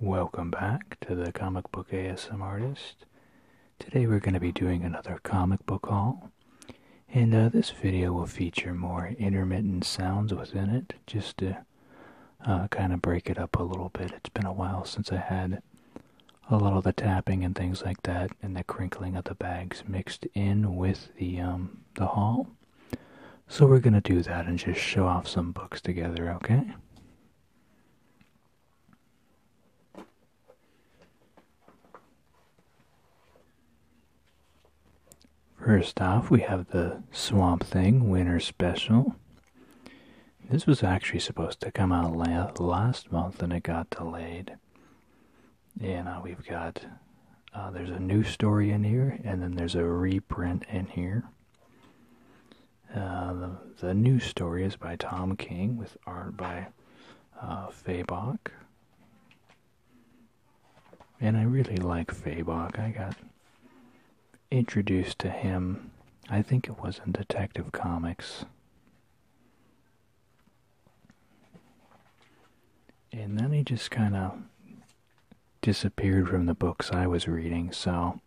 Welcome back to the Comic Book ASM Artist. Today we're going to be doing another comic book haul. And uh, this video will feature more intermittent sounds within it, just to uh, kind of break it up a little bit. It's been a while since I had a lot of the tapping and things like that and the crinkling of the bags mixed in with the, um, the haul. So we're gonna do that and just show off some books together, okay? First off, we have the Swamp Thing Winter Special. This was actually supposed to come out last month and it got delayed. And uh, we've got, uh, there's a new story in here, and then there's a reprint in here. Uh, the, the news story is by Tom King with art by uh, Fabok. And I really like Fabok. I got introduced to him, I think it was in Detective Comics. And then he just kind of disappeared from the books I was reading, so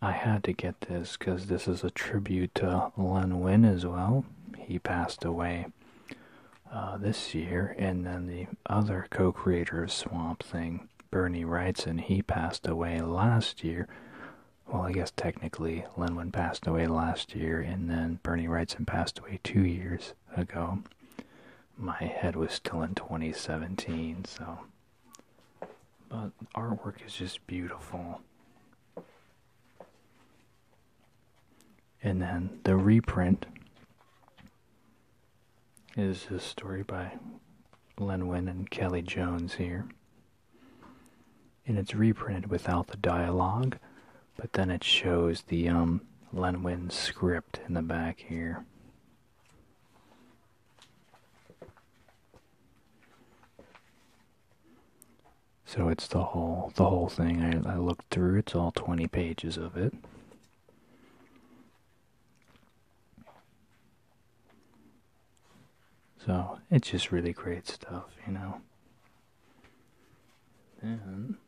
I had to get this because this is a tribute to Len Win as well. He passed away uh, this year, and then the other co creator of Swamp Thing, Bernie Wrightson, he passed away last year. Well, I guess technically Len Lenwin passed away last year, and then Bernie Wrightson passed away two years ago my head was still in 2017, so. But artwork is just beautiful. And then the reprint is this story by Len Wynn and Kelly Jones here. And it's reprinted without the dialogue, but then it shows the um, Len Wynn script in the back here. So it's the whole the whole thing. I, looked through. It's all twenty pages of it. So it's just really great stuff, you know. Then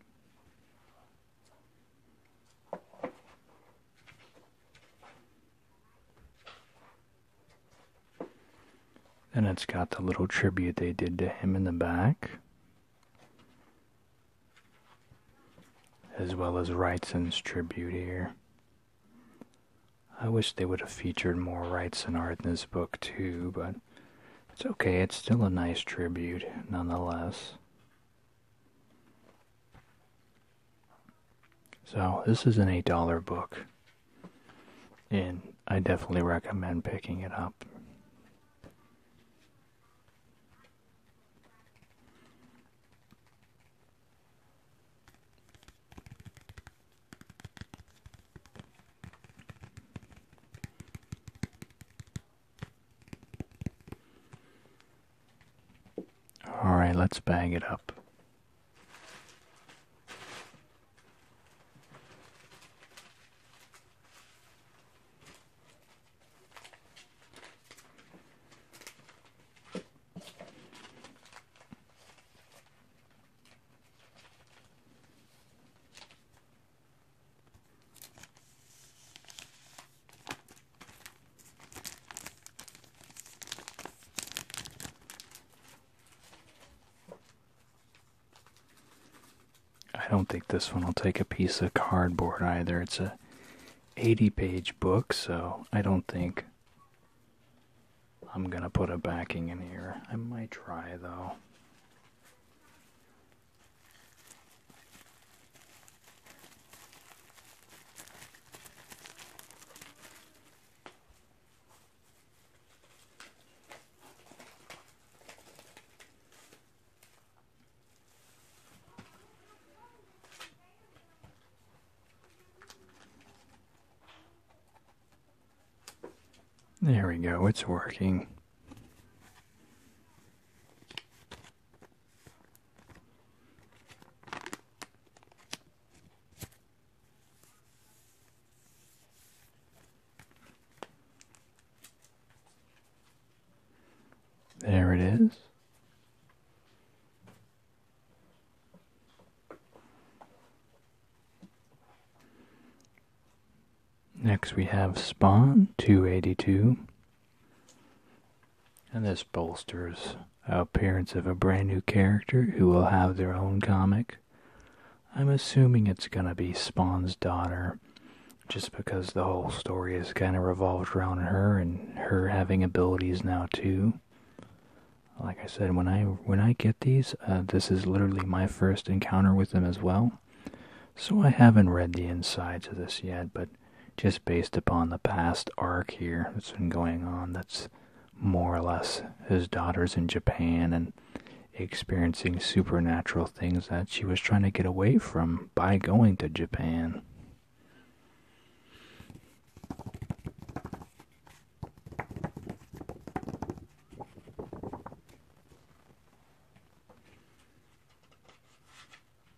and it's got the little tribute they did to him in the back, as well as Wrightson's tribute here. I wish they would have featured more Wrightson art in this book too, but it's okay, it's still a nice tribute nonetheless. So, this is an $8 book, and I definitely recommend picking it up. All right, let's bag it up. I don't think this one will take a piece of cardboard either. It's a 80 page book, so I don't think I'm going to put a backing in here. I might try though. There we go, it's working. There it is. Next we have Spawn 282. And this bolsters appearance of a brand new character who will have their own comic. I'm assuming it's going to be Spawn's daughter, just because the whole story has kind of revolved around her and her having abilities now too. Like I said, when I when I get these, uh, this is literally my first encounter with them as well. So I haven't read the insides of this yet, but just based upon the past arc here that's been going on. That's more or less his daughter's in Japan and experiencing supernatural things that she was trying to get away from by going to Japan.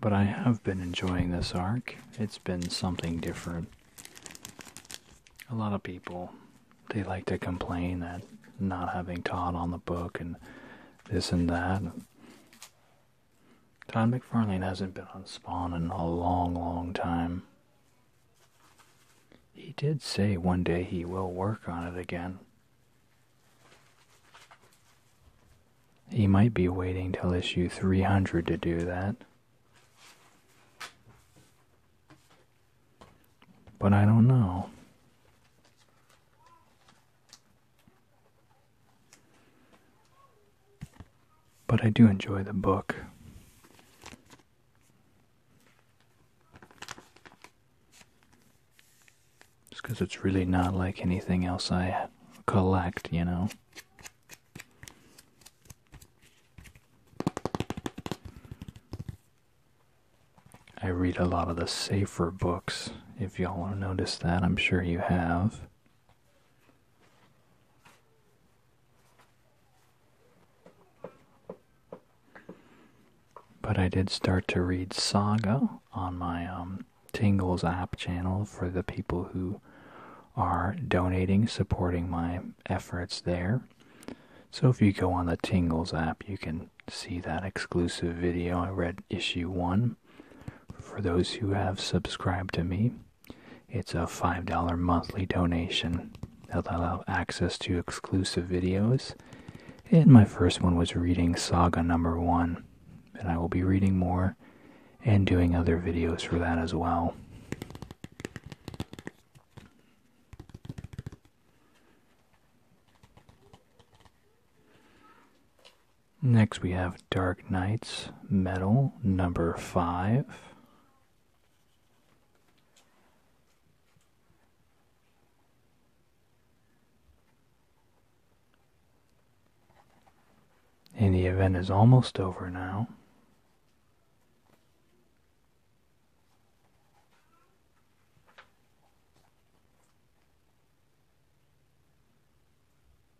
But I have been enjoying this arc. It's been something different. A lot of people, they like to complain that not having Todd on the book and this and that. Tom McFarlane hasn't been on Spawn in a long, long time. He did say one day he will work on it again. He might be waiting till issue 300 to do that. But I don't know. But I do enjoy the book. Just because it's really not like anything else I collect, you know? I read a lot of the safer books, if y'all noticed that, I'm sure you have. But I did start to read Saga on my um, Tingles app channel for the people who are donating, supporting my efforts there. So if you go on the Tingles app, you can see that exclusive video. I read issue one for those who have subscribed to me. It's a $5 monthly donation. That'll allow access to exclusive videos. And my first one was reading Saga number one. And I will be reading more and doing other videos for that as well. Next we have Dark Knights Metal number 5. And the event is almost over now.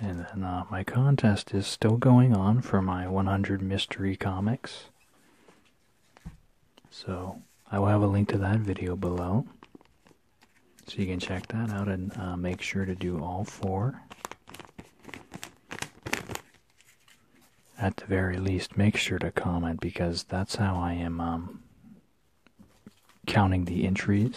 And then uh, my contest is still going on for my 100 mystery comics. So I will have a link to that video below. So you can check that out and uh, make sure to do all four. At the very least, make sure to comment because that's how I am um, counting the entries.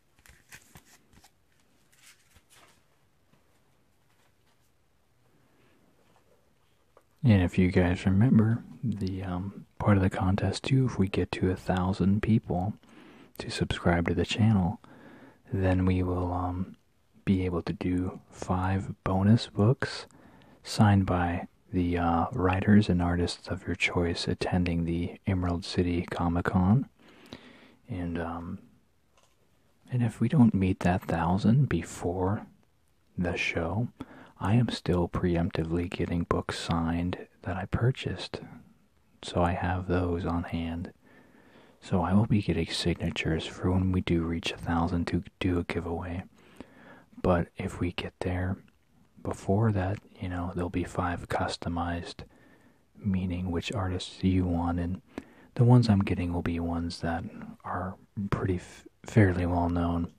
And if you guys remember the um, part of the contest too, if we get to a thousand people to subscribe to the channel, then we will um, be able to do five bonus books signed by the uh, writers and artists of your choice attending the Emerald City Comic Con. And, um, and if we don't meet that thousand before the show, I am still preemptively getting books signed that I purchased. So I have those on hand. So I will be getting signatures for when we do reach a thousand to do a giveaway. But if we get there, before that, you know, there'll be five customized, meaning which artists you want, and the ones I'm getting will be ones that are pretty fairly well known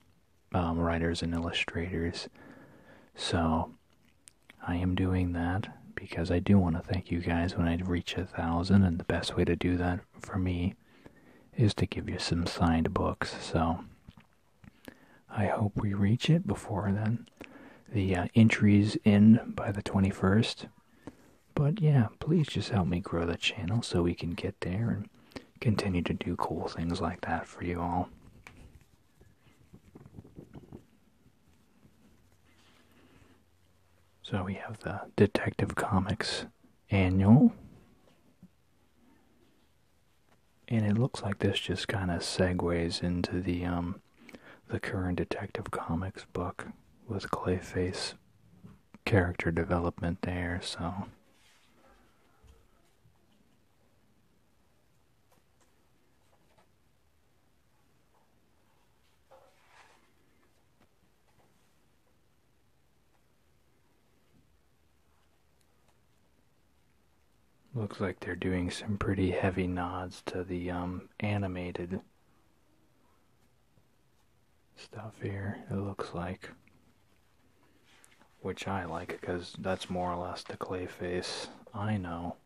um, writers and illustrators. So I am doing that because I do want to thank you guys when I reach a thousand, and the best way to do that for me is to give you some signed books. So I hope we reach it before then. The uh, entries in by the 21st. But yeah, please just help me grow the channel so we can get there and continue to do cool things like that for you all. So we have the Detective Comics Annual and it looks like this just kind of segues into the um the current detective comics book with clayface character development there so Looks like they're doing some pretty heavy nods to the um, animated stuff here, it looks like. Which I like because that's more or less the Clayface I know.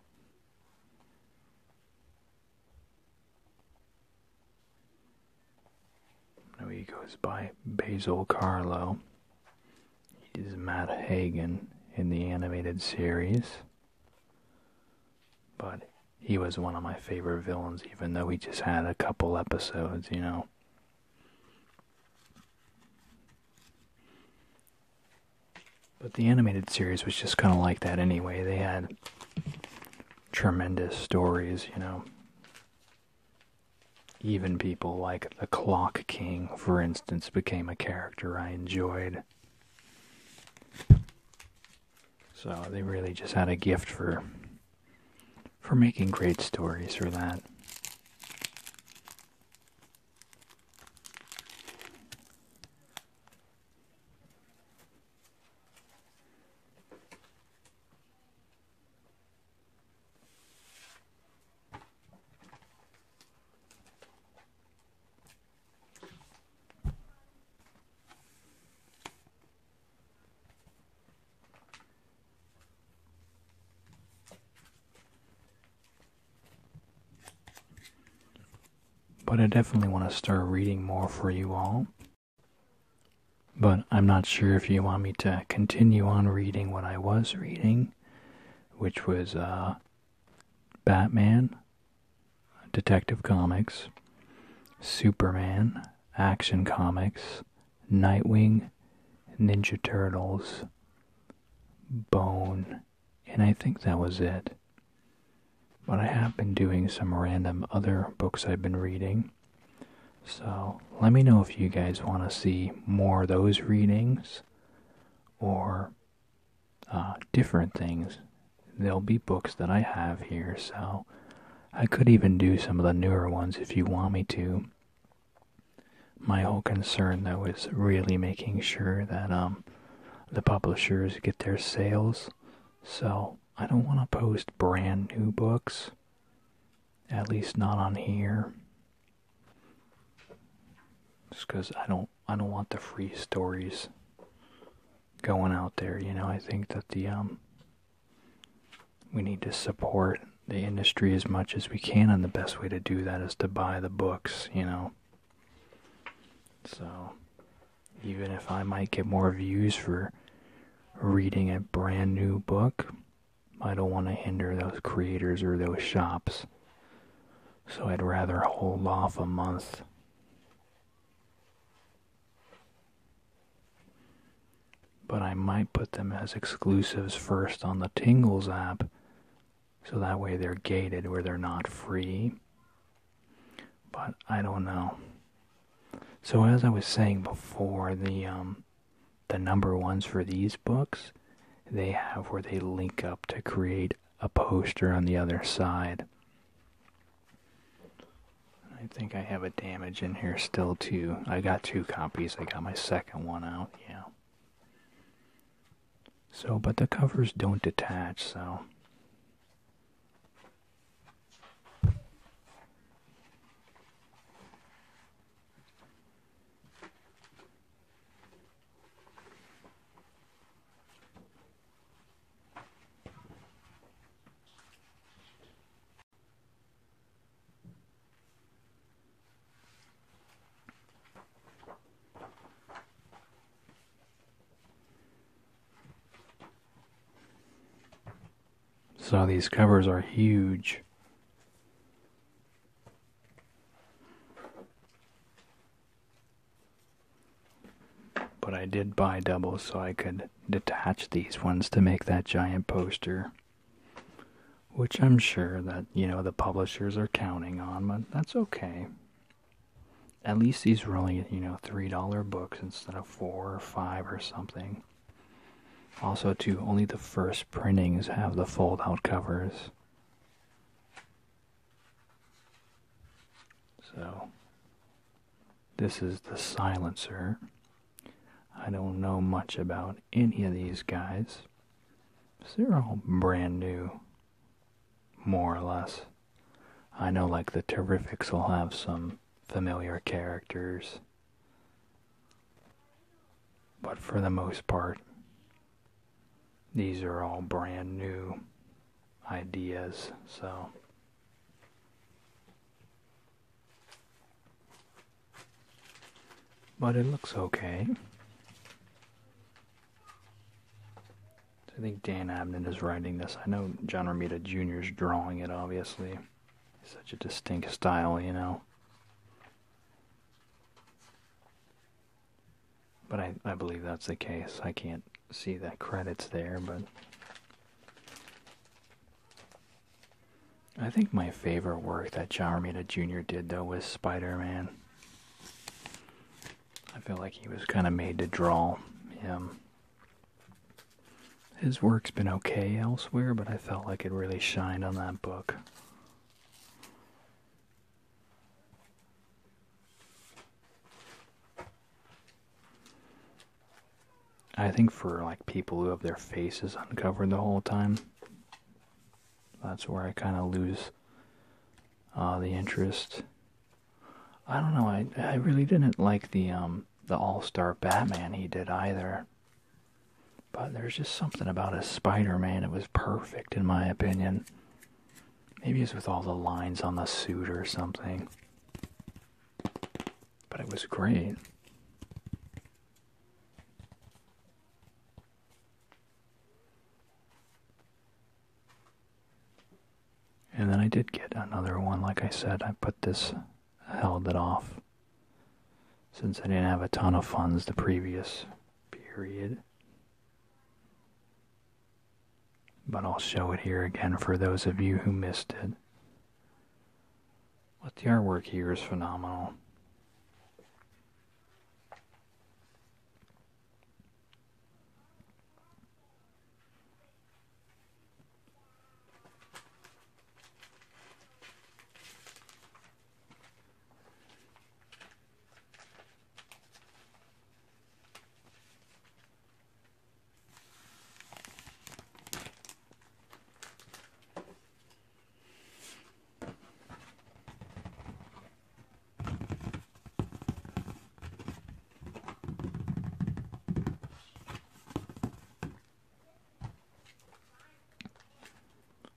No, he goes by Basil Carlo. He Matt Hagen in the animated series. But he was one of my favorite villains, even though he just had a couple episodes, you know. But the animated series was just kind of like that anyway. They had tremendous stories, you know. Even people like the Clock King, for instance, became a character I enjoyed. So they really just had a gift for for making great stories for that. But I definitely want to start reading more for you all. But I'm not sure if you want me to continue on reading what I was reading, which was uh, Batman, Detective Comics, Superman, Action Comics, Nightwing, Ninja Turtles, Bone, and I think that was it. But I have been doing some random other books I've been reading. So let me know if you guys want to see more of those readings or uh, different things. There'll be books that I have here, so I could even do some of the newer ones if you want me to. My whole concern, though, is really making sure that um, the publishers get their sales. So I don't want to post brand new books, at least not on here. Just because I don't, I don't want the free stories going out there. You know, I think that the um, we need to support the industry as much as we can, and the best way to do that is to buy the books. You know, so even if I might get more views for reading a brand new book, I don't want to hinder those creators or those shops so I'd rather hold off a month. But I might put them as exclusives first on the Tingles app, so that way they're gated where they're not free. But I don't know. So as I was saying before, the um, the number ones for these books, they have where they link up to create a poster on the other side. I think I have a damage in here still too. I got two copies. I got my second one out, yeah. So, but the covers don't detach, so so these covers are huge. But I did buy doubles so I could detach these ones to make that giant poster. Which I'm sure that, you know, the publishers are counting on, but that's okay. At least these were only, you know, $3 books instead of 4 or 5 or something. Also, too, only the first printings have the fold out covers. So, this is the silencer. I don't know much about any of these guys. they're all brand new, more or less. I know, like, the Terrifics will have some familiar characters. But for the most part, these are all brand new ideas, so. But it looks okay. I think Dan Abnett is writing this. I know John Romita Jr. is drawing it, obviously. such a distinct style, you know. But I, I believe that's the case. I can't see the credits there, but I think my favorite work that John Romita Jr. did though was Spider-Man. I feel like he was kind of made to draw him. His work's been okay elsewhere, but I felt like it really shined on that book. I think for like people who have their faces uncovered the whole time, that's where I kind of lose uh, the interest. I don't know. I I really didn't like the um the All Star Batman he did either. But there's just something about a Spider Man. It was perfect in my opinion. Maybe it's with all the lines on the suit or something. But it was great. And then I did get another one. Like I said, I put this, held it off. Since I didn't have a ton of funds the previous period. But I'll show it here again for those of you who missed it. But the artwork here is phenomenal.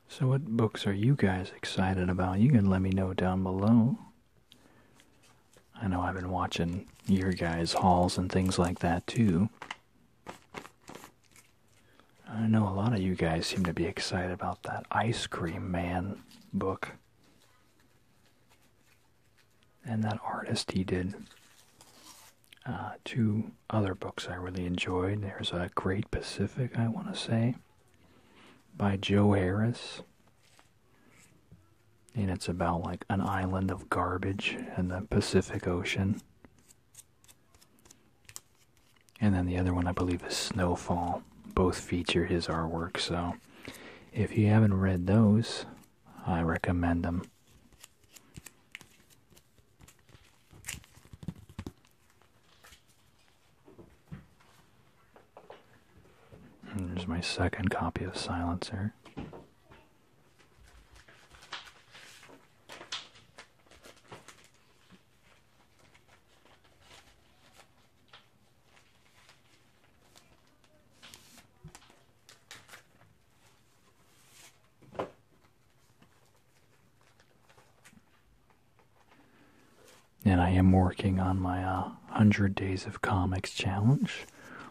So what books are you guys excited about? You can let me know down below. I know I've been watching your guys' hauls and things like that too. I know a lot of you guys seem to be excited about that Ice Cream Man book. And that artist he did. Uh, two other books I really enjoyed. There's a uh, Great Pacific, I want to say by Joe Harris. And it's about like an island of garbage in the Pacific Ocean. And then the other one, I believe, is Snowfall. Both feature his artwork, so if you haven't read those, I recommend them there's my second copy of Silencer and I am working on my 100 uh, Days of Comics challenge,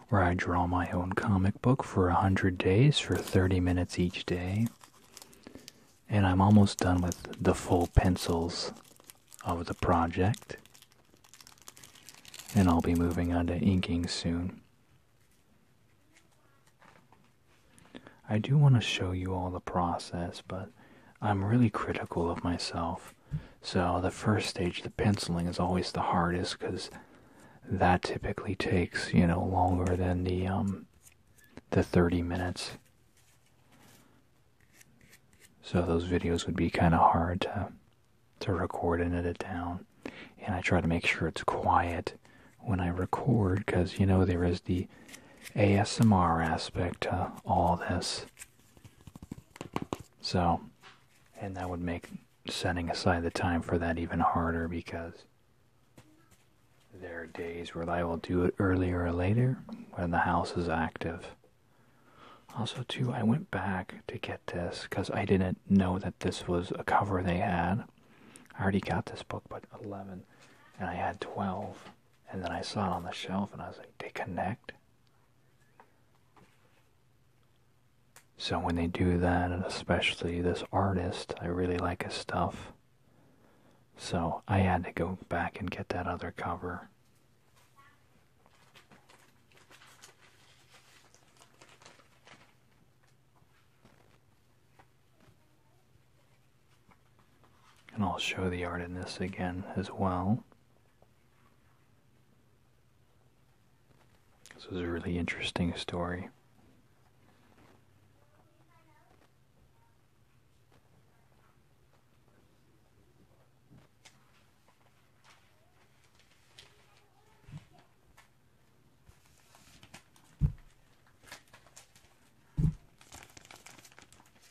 where I draw my own comic book for 100 days for 30 minutes each day. And I'm almost done with the full pencils of the project. And I'll be moving on to inking soon. I do want to show you all the process, but I'm really critical of myself. So the first stage, the penciling, is always the hardest because that typically takes, you know, longer than the um the 30 minutes. So those videos would be kind of hard to to record and edit down. And I try to make sure it's quiet when I record because, you know, there is the ASMR aspect to all this. So, and that would make setting aside the time for that even harder because there are days where I will do it earlier or later when the house is active. Also, too, I went back to get this because I didn't know that this was a cover they had. I already got this book, but 11, and I had 12. And then I saw it on the shelf and I was like, they connect. So when they do that, and especially this artist, I really like his stuff. So I had to go back and get that other cover. And I'll show the art in this again as well. This is a really interesting story.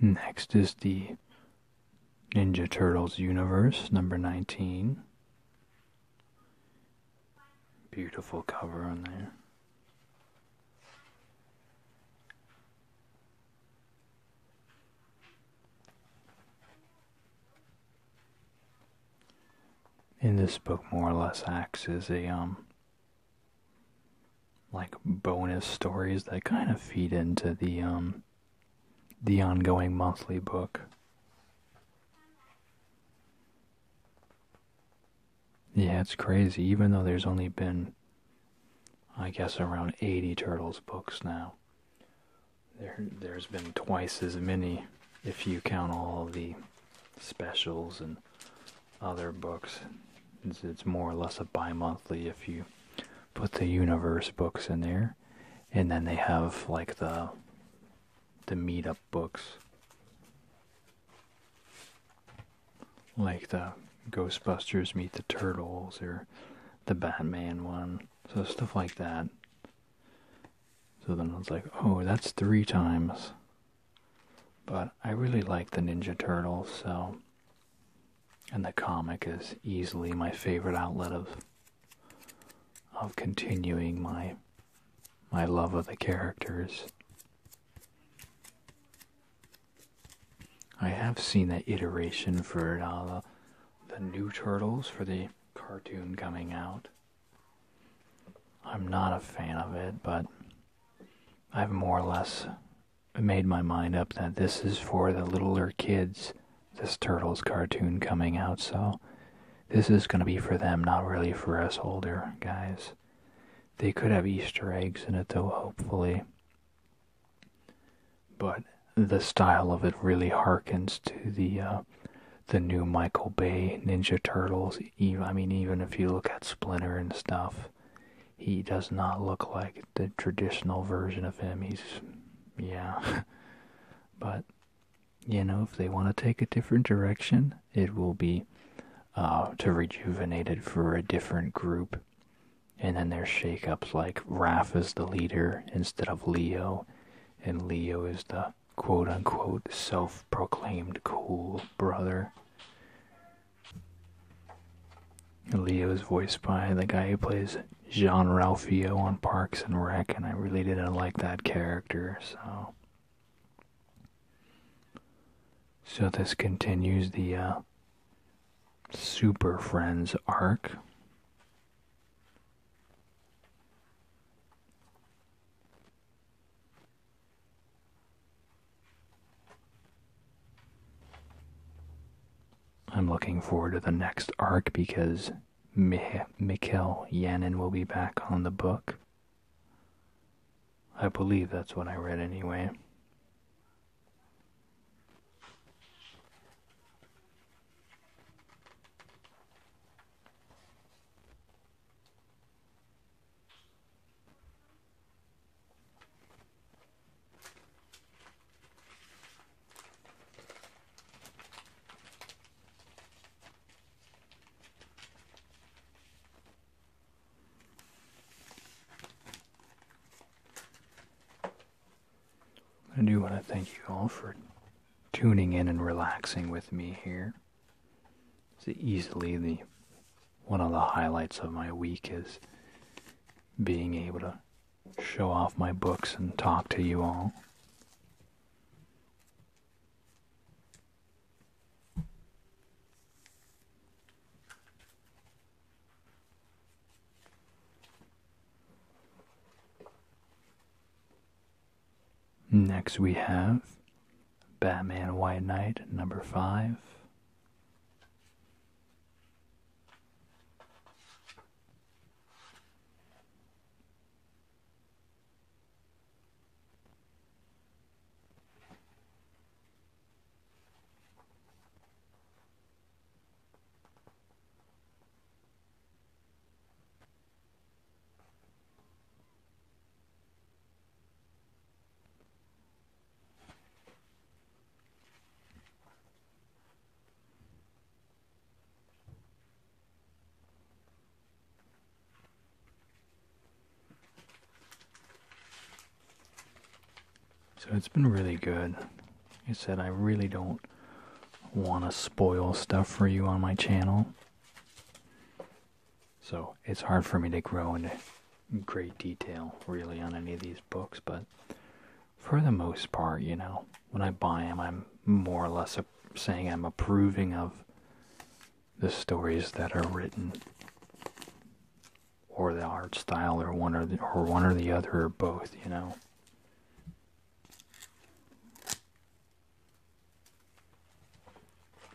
Next is the Ninja Turtles universe, number 19. Beautiful cover on there in this book more or less acts as a um like bonus stories that kind of feed into the um the ongoing monthly book. Yeah, it's crazy. Even though there's only been, I guess, around 80 Turtles books now, there there's been twice as many if you count all the specials and other books. It's, more or less a bi-monthly if you put the universe books in there, and then they have like the the meetup books, like the Ghostbusters meet the Turtles or the Batman one, so stuff like that. So then I was like, oh, that's three times. But I really like the Ninja Turtles, so. And the comic is easily my favorite outlet of of continuing my my love of the characters. I have seen the iteration for uh, the, the new Turtles for the cartoon coming out. I'm not a fan of it, but I've more or less made my mind up that this is for the littler kids, this Turtles cartoon coming out, so this is going to be for them, not really for us older guys. They could have Easter eggs in it, though, hopefully. But the style of it really harkens to the uh, the new Michael Bay Ninja Turtles. Even, I mean, even if you look at Splinter and stuff, he does not look like the traditional version of him. He's, yeah. but, you know, if they want to take a different direction, it will be uh, to rejuvenate it for a different group. And then there's shakeups like Raph is the leader instead of Leo, and Leo is the quote unquote self proclaimed cool brother. Leo's voiced by the guy who plays Jean Ralphio on Parks and Rec, and I really didn't like that character, so. So this continues the uh, Super Friends arc. I'm looking forward to the next arc because Mih Mikhail Yanin will be back on the book. I believe that's what I read anyway. I do want to thank you all for tuning in and relaxing with me here. It's easily the one of the highlights of my week is being able to show off my books and talk to you all. Next we have Batman White Knight number 5. So it's been really good. Like I said, I really don't want to spoil stuff for you on my channel. So it's hard for me to grow into great detail really on any of these books, but for the most part, you know, when I buy them, I'm more or less saying I'm approving of the stories that are written or the art style or one or or one or the other or both, you know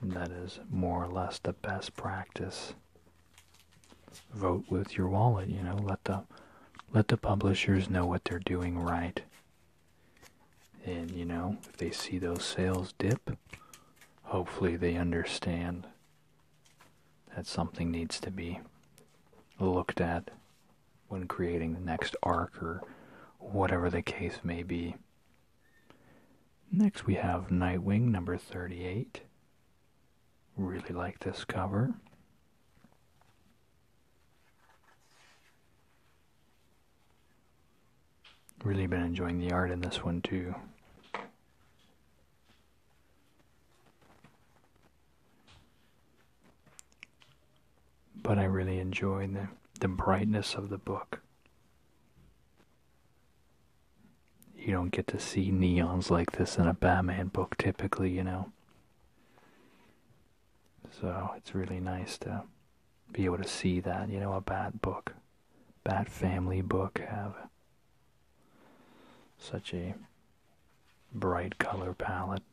that is more or less the best practice. Vote with your wallet, you know, let the let the publishers know what they're doing right. And you know, if they see those sales dip, hopefully they understand that something needs to be looked at when creating the next arc or whatever the case may be. Next, we have Nightwing number 38. Really like this cover. Really been enjoying the art in this one too. But I really enjoy the, the brightness of the book. You don't get to see neons like this in a Batman book typically, you know. So it's really nice to be able to see that, you know, a Bat book, Bat family book have such a bright color palette.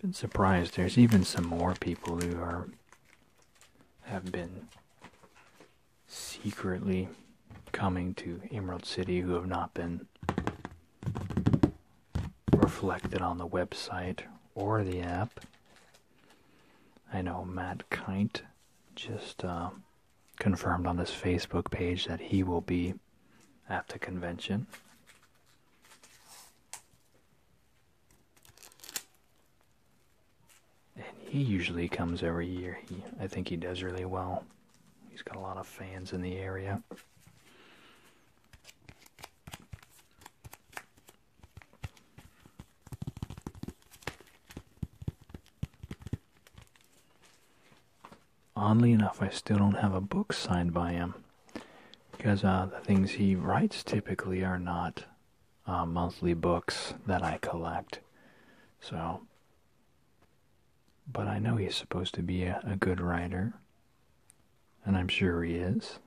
Been surprised. There's even some more people who are have been secretly coming to Emerald City who have not been reflected on the website or the app. I know Matt Kite just uh, confirmed on his Facebook page that he will be at the convention. And he usually comes every year. He, I think he does really well. He's got a lot of fans in the area. Oddly enough, I still don't have a book signed by him because uh, the things he writes typically are not uh, monthly books that I collect. So, but I know he's supposed to be a good writer, and I'm sure he is.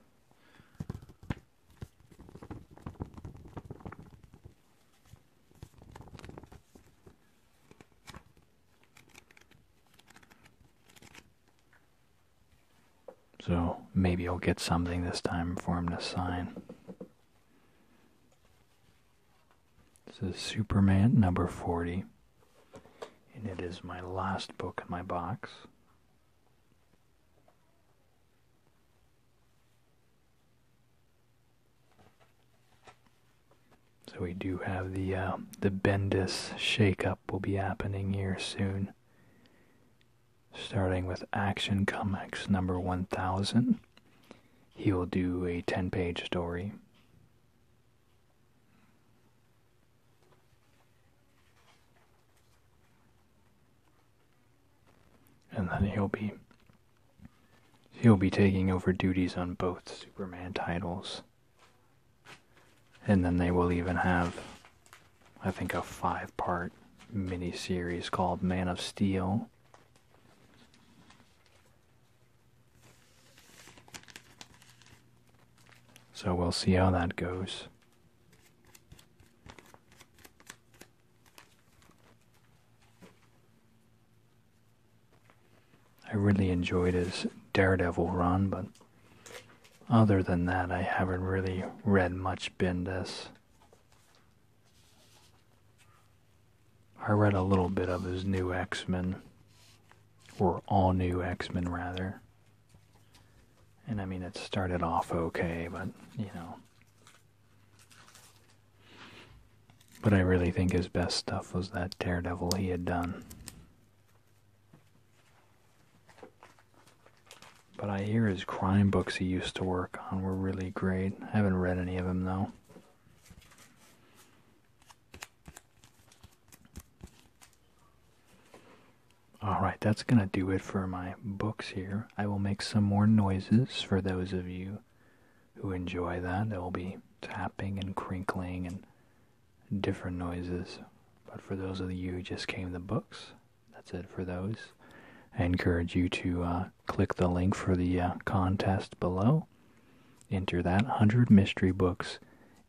So maybe I'll get something this time for him to sign. This is Superman number 40, and it is my last book in my box. So we do have the uh, the Bendis shakeup will be happening here soon. Starting with Action Comics number 1000, he will do a 10 page story. And then he'll be he'll be taking over duties on both Superman titles. And then they will even have I think a five-part mini-series called Man of Steel. So we'll see how that goes. I really enjoyed his Daredevil run, but other than that, I haven't really read much Bendis. I read a little bit of his new X Men, or all new X Men rather, and I mean, it started off okay, but you know. But I really think his best stuff was that Daredevil he had done. But I hear his crime books he used to work on were really great. I haven't read any of them though. Alright, that's going to do it for my books here. I will make some more noises for those of you who enjoy that. There will be tapping and crinkling and different noises. But for those of you who just came the books, that's it for those. I encourage you to uh, click the link for the uh, contest below. Enter that 100 mystery books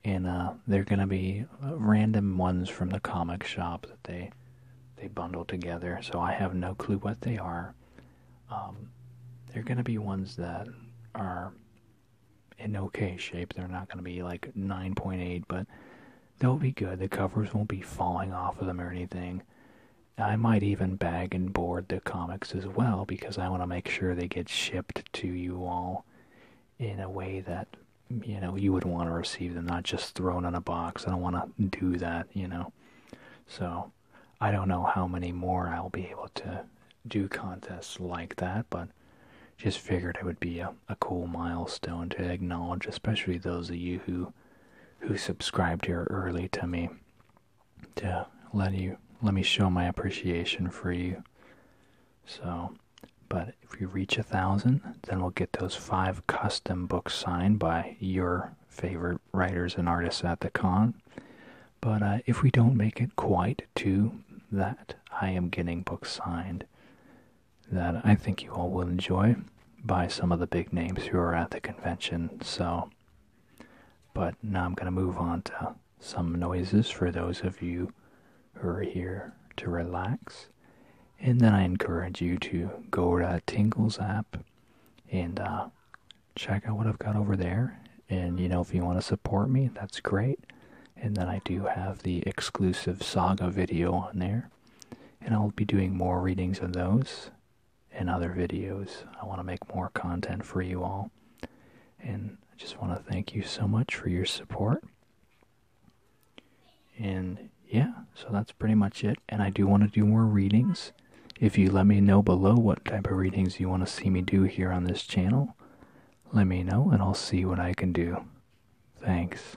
and uh, they're gonna be random ones from the comic shop that they they bundle together. So I have no clue what they are. Um, they're gonna be ones that are in okay shape. They're not gonna be like 9.8, but they'll be good. The covers won't be falling off of them or anything. I might even bag and board the comics as well because I want to make sure they get shipped to you all in a way that you know you would want to receive them, not just thrown in a box. I don't want to do that, you know. So I don't know how many more I'll be able to do contests like that, but just figured it would be a, a cool milestone to acknowledge, especially those of you who who subscribed here early to me to let you let me show my appreciation for you. So but if we reach a thousand, then we'll get those five custom books signed by your favorite writers and artists at the con. But uh, if we don't make it quite to that, I am getting books signed that I think you all will enjoy by some of the big names who are at the convention. So, but now I'm going to move on to some noises for those of you who are here to relax. And then I encourage you to go to Tingles app and uh, check out what I've got over there. And you know, if you want to support me, that's great. And then I do have the exclusive Saga video on there. And I'll be doing more readings of those and other videos. I want to make more content for you all. And I just want to thank you so much for your support. And yeah, so that's pretty much it. And I do want to do more readings. If you let me know below what type of readings you want to see me do here on this channel, let me know and I'll see what I can do. Thanks.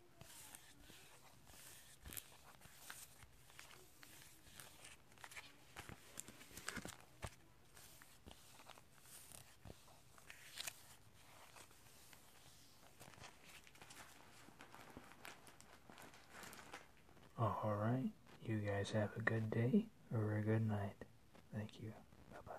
Oh, all right. You guys have a good day or a good night. Thank you. Bye-bye.